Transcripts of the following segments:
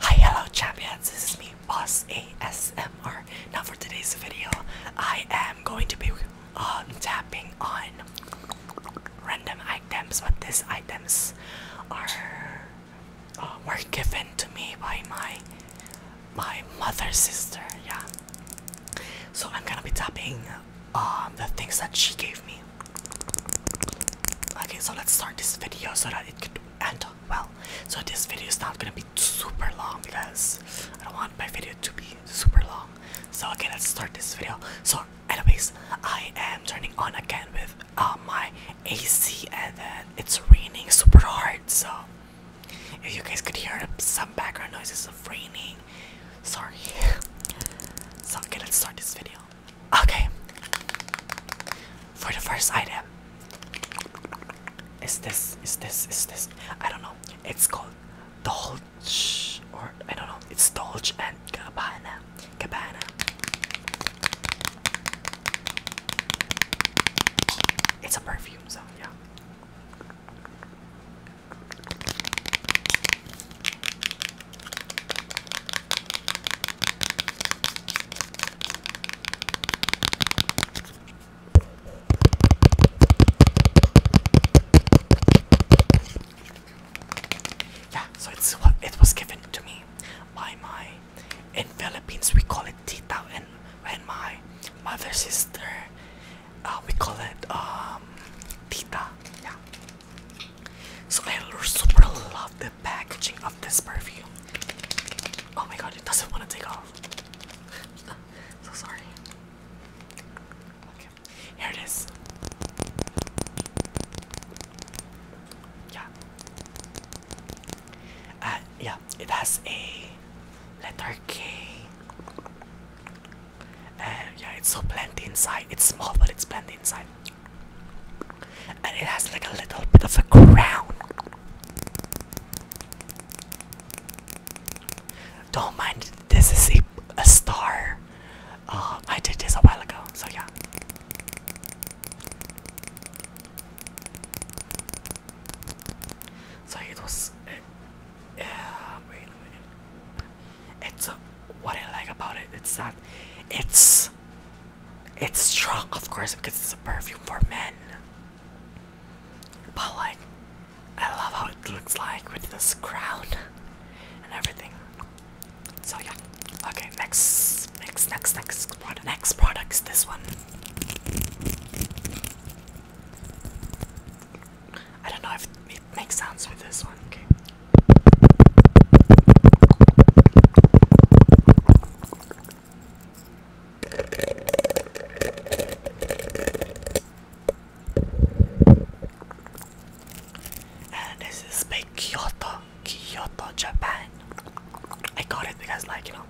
Hi, hello champions, this is me, Boss ASMR. Now for today's video, I am going to be um, tapping on random items, but these items are uh, were given to me by my my mother's sister, yeah. So I'm gonna be tapping um, the things that she gave me. Okay, so let's start this video so that it could and well so this video is not gonna be super long because I don't want my video to be super long so okay let's start this video so anyways I am turning on again with uh, my AC and then it's raining super hard so if you guys could hear some background noises of raining sorry so okay let's start this video Okay. For the first item. Is this, is this, is this? I don't know. It's called Dolce, or I don't know. It's Dolce and Gabbana. Gabbana. It's a perfume, so yeah. Yeah, so it's what it was given to me by my in Philippines we call it tita and and my mother's sister uh, we call it um tita yeah so I super love the packaging of this perfume. Oh my god, it doesn't want to take off. so sorry. Okay, here it is. Yeah. Uh, yeah, it has a letter K. Uh, yeah, it's so blend inside. It's small, but it's blend inside. And it has like a little bit of a crown. Don't mind, this is a, star. Uh, I did this a while ago, so yeah. So it was. Eh, uh, uh, wait It's what I like about it. It's that it's it's strong, of course, because it's a perfume for men. But like, I love how it looks like with this crown and everything. So yeah. Okay, next, next, next, next product. Next product is this one. I don't know if it makes sense with this one. Okay. And this is by Kyoto, Kyoto, Japan. I got it because, like, you know,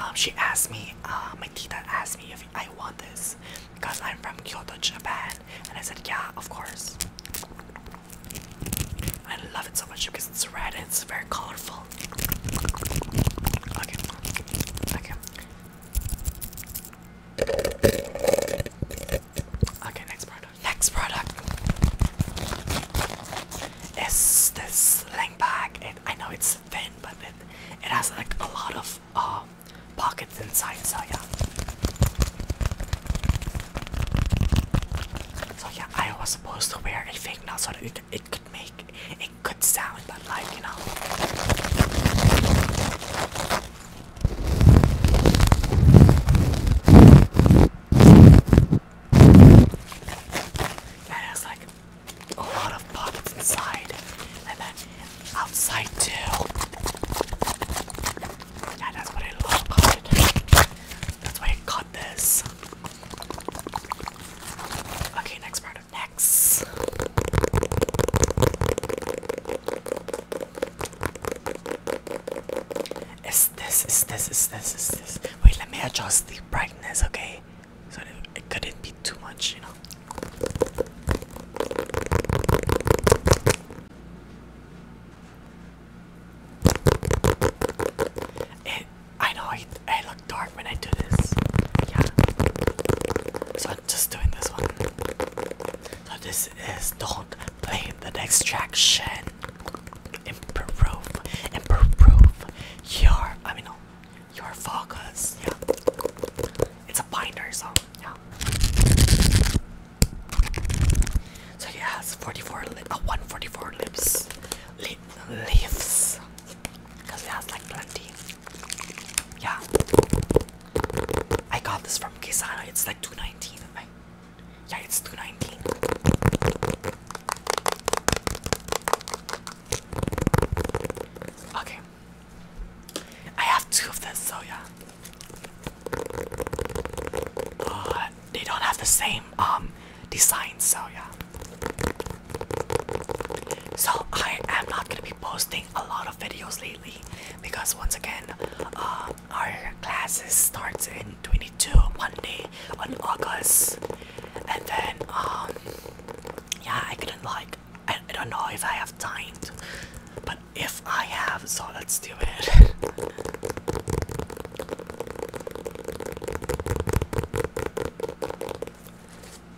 um, she asked me, uh, my tita asked me if I want this because I'm from Kyoto, Japan, and I said, yeah, of course. I love it so much because it's red and it's very colorful. Okay. Okay. Okay, next product. Next product is this sling bag. It, I know it's thin, but it, it has like a lot of uh, pockets inside, so yeah. So yeah, I was supposed to wear a fake nail so that it, it could make it could sound like you know. And there's like a lot of pockets inside and then outside too. Yeah, that's what I love That's why I got this. Okay, next product. Next. Is this, is this, is this, is this. Wait, let me adjust the brightness, okay? So it couldn't be too much, you know. It, I know I, I look dark when I do this. Yeah. So I'm just doing this one. So this is don't blame the extraction. Improve, improve your, I mean, no, your focus. Yeah. It's a binder, so yeah. So he has 44 lip, uh, 144 lips, lip, leaves, because it has like plenty. Yeah, I got this from Kesana. It's like 219. Like, yeah, it's 219. Okay, I have two of this, so yeah. Uh, they don't have the same um design, so yeah. So I am not gonna be posting a lot of videos lately because once again, uh, our classes starts in 22 Monday on August, and then um yeah, I couldn't like I, I don't know if I have time, but if I have, so let's do it.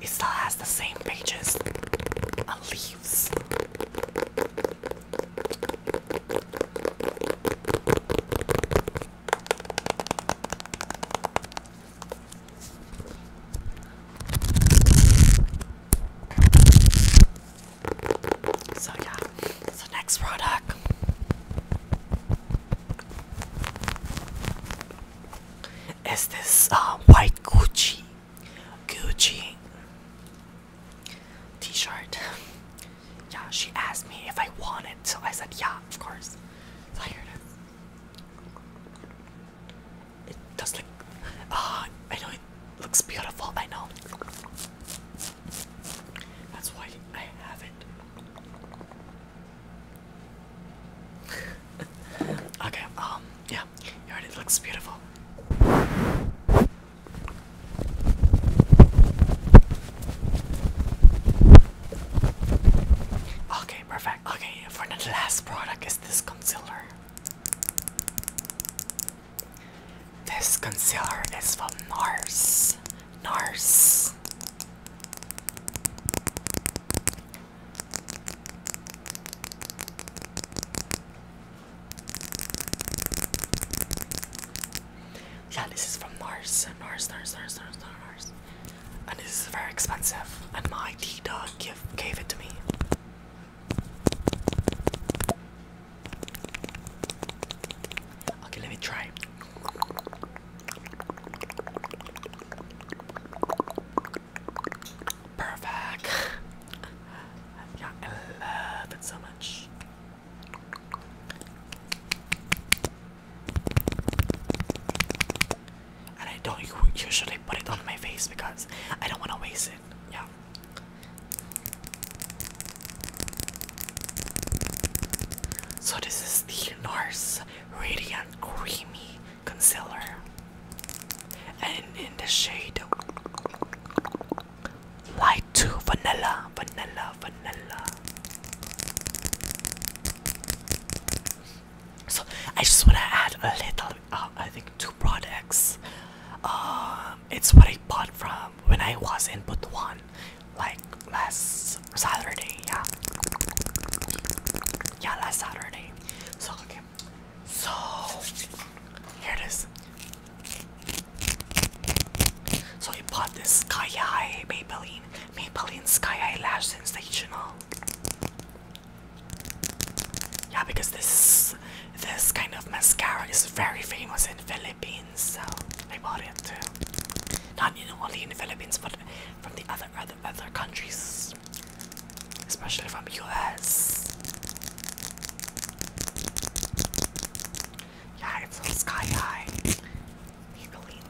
It still has the same pages and leaves. So yeah, so next product. Is this uh, white Gucci, Gucci T-shirt? Yeah, she asked me if I wanted, so I said yeah, of course. So it does look. Ah, I know it looks beautiful. I know. That's why I have it. okay. Um. Yeah. it looks beautiful. Okay, perfect. Okay, for the last product is this concealer. This concealer is from NARS. NARS. Yeah, this is from NARS. NARS, NARS, NARS, NARS, NARS. And this is very expensive. And my Tita give, gave it to me. Okay, let me try. Perfect. I love it so much. And I don't usually put it on my face because I don't want to waste it. Yeah. So this is the NARS Radiant Creamy Concealer. And in the shade Light 2 Vanilla, Vanilla, Vanilla. So I just want to add a little uh, I think two products. Um, it's what I bought from when I was in Butuan, like last Saturday. Yeah, yeah, last Saturday. So okay, so here it is. So I bought this Sky High Maybelline Maybelline Sky High Lash Sensational. Yeah, because this this kind of mascara is very famous in Philippines, so I bought it too. Not only in Philippines, but from the other other other countries, especially from US. Yeah, it's sky high. Maybelline.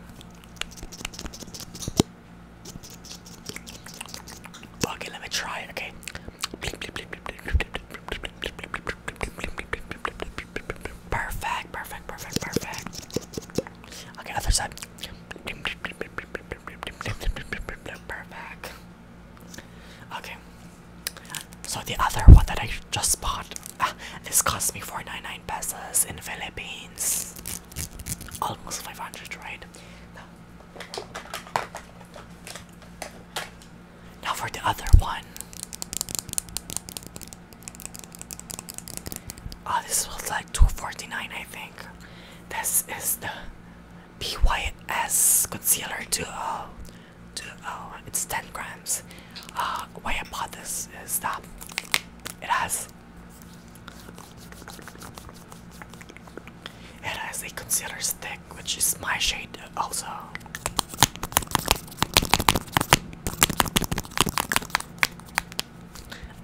Okay, let me try it, okay? Perfect, perfect, perfect, perfect. Okay, other side. Perfect. Okay. So the other one that I just bought, this cost me 499 pesos in Philippines. Almost 500, right? Now for the other one. Oh, this was like 249 I think. This is the BYS Concealer 2.0. Uh, 2.0. Uh, it's 10 grams. Uh, why I bought this is that it has it has a concealer stick, which is my shade also.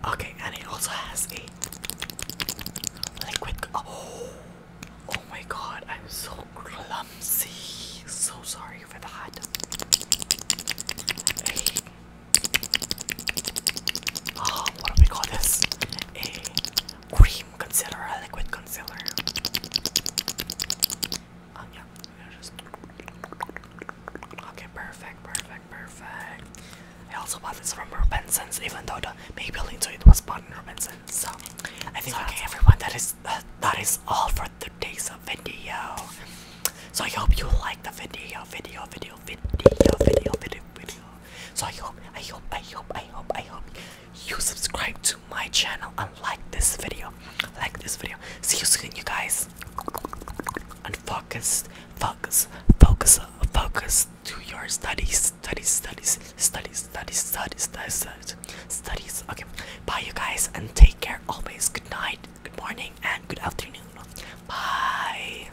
Okay, and it also has a liquid. Oh, oh my god, I'm so clumsy. So sorry for that. Hey. Oh, what do we call this? a cream concealer, a liquid concealer. Um, yeah, just... Okay, perfect, perfect, perfect. I also bought this from Robinson's, even though the Maybelline to it was bought in Robinson's. So I think so, okay, everyone, that is uh, that is all for today's video. So I hope you like the video, video, video, video, video, video, video. So I hope, I hope, I hope, I hope, I hope you subscribe to my channel and like this video. Like this video. See you soon, you guys. And focus, focus, focus, focus to your studies, studies, studies, studies, studies, studies, studies, studies. studies. Okay, bye, you guys, and take care always. Good night, good morning, and good afternoon. Bye.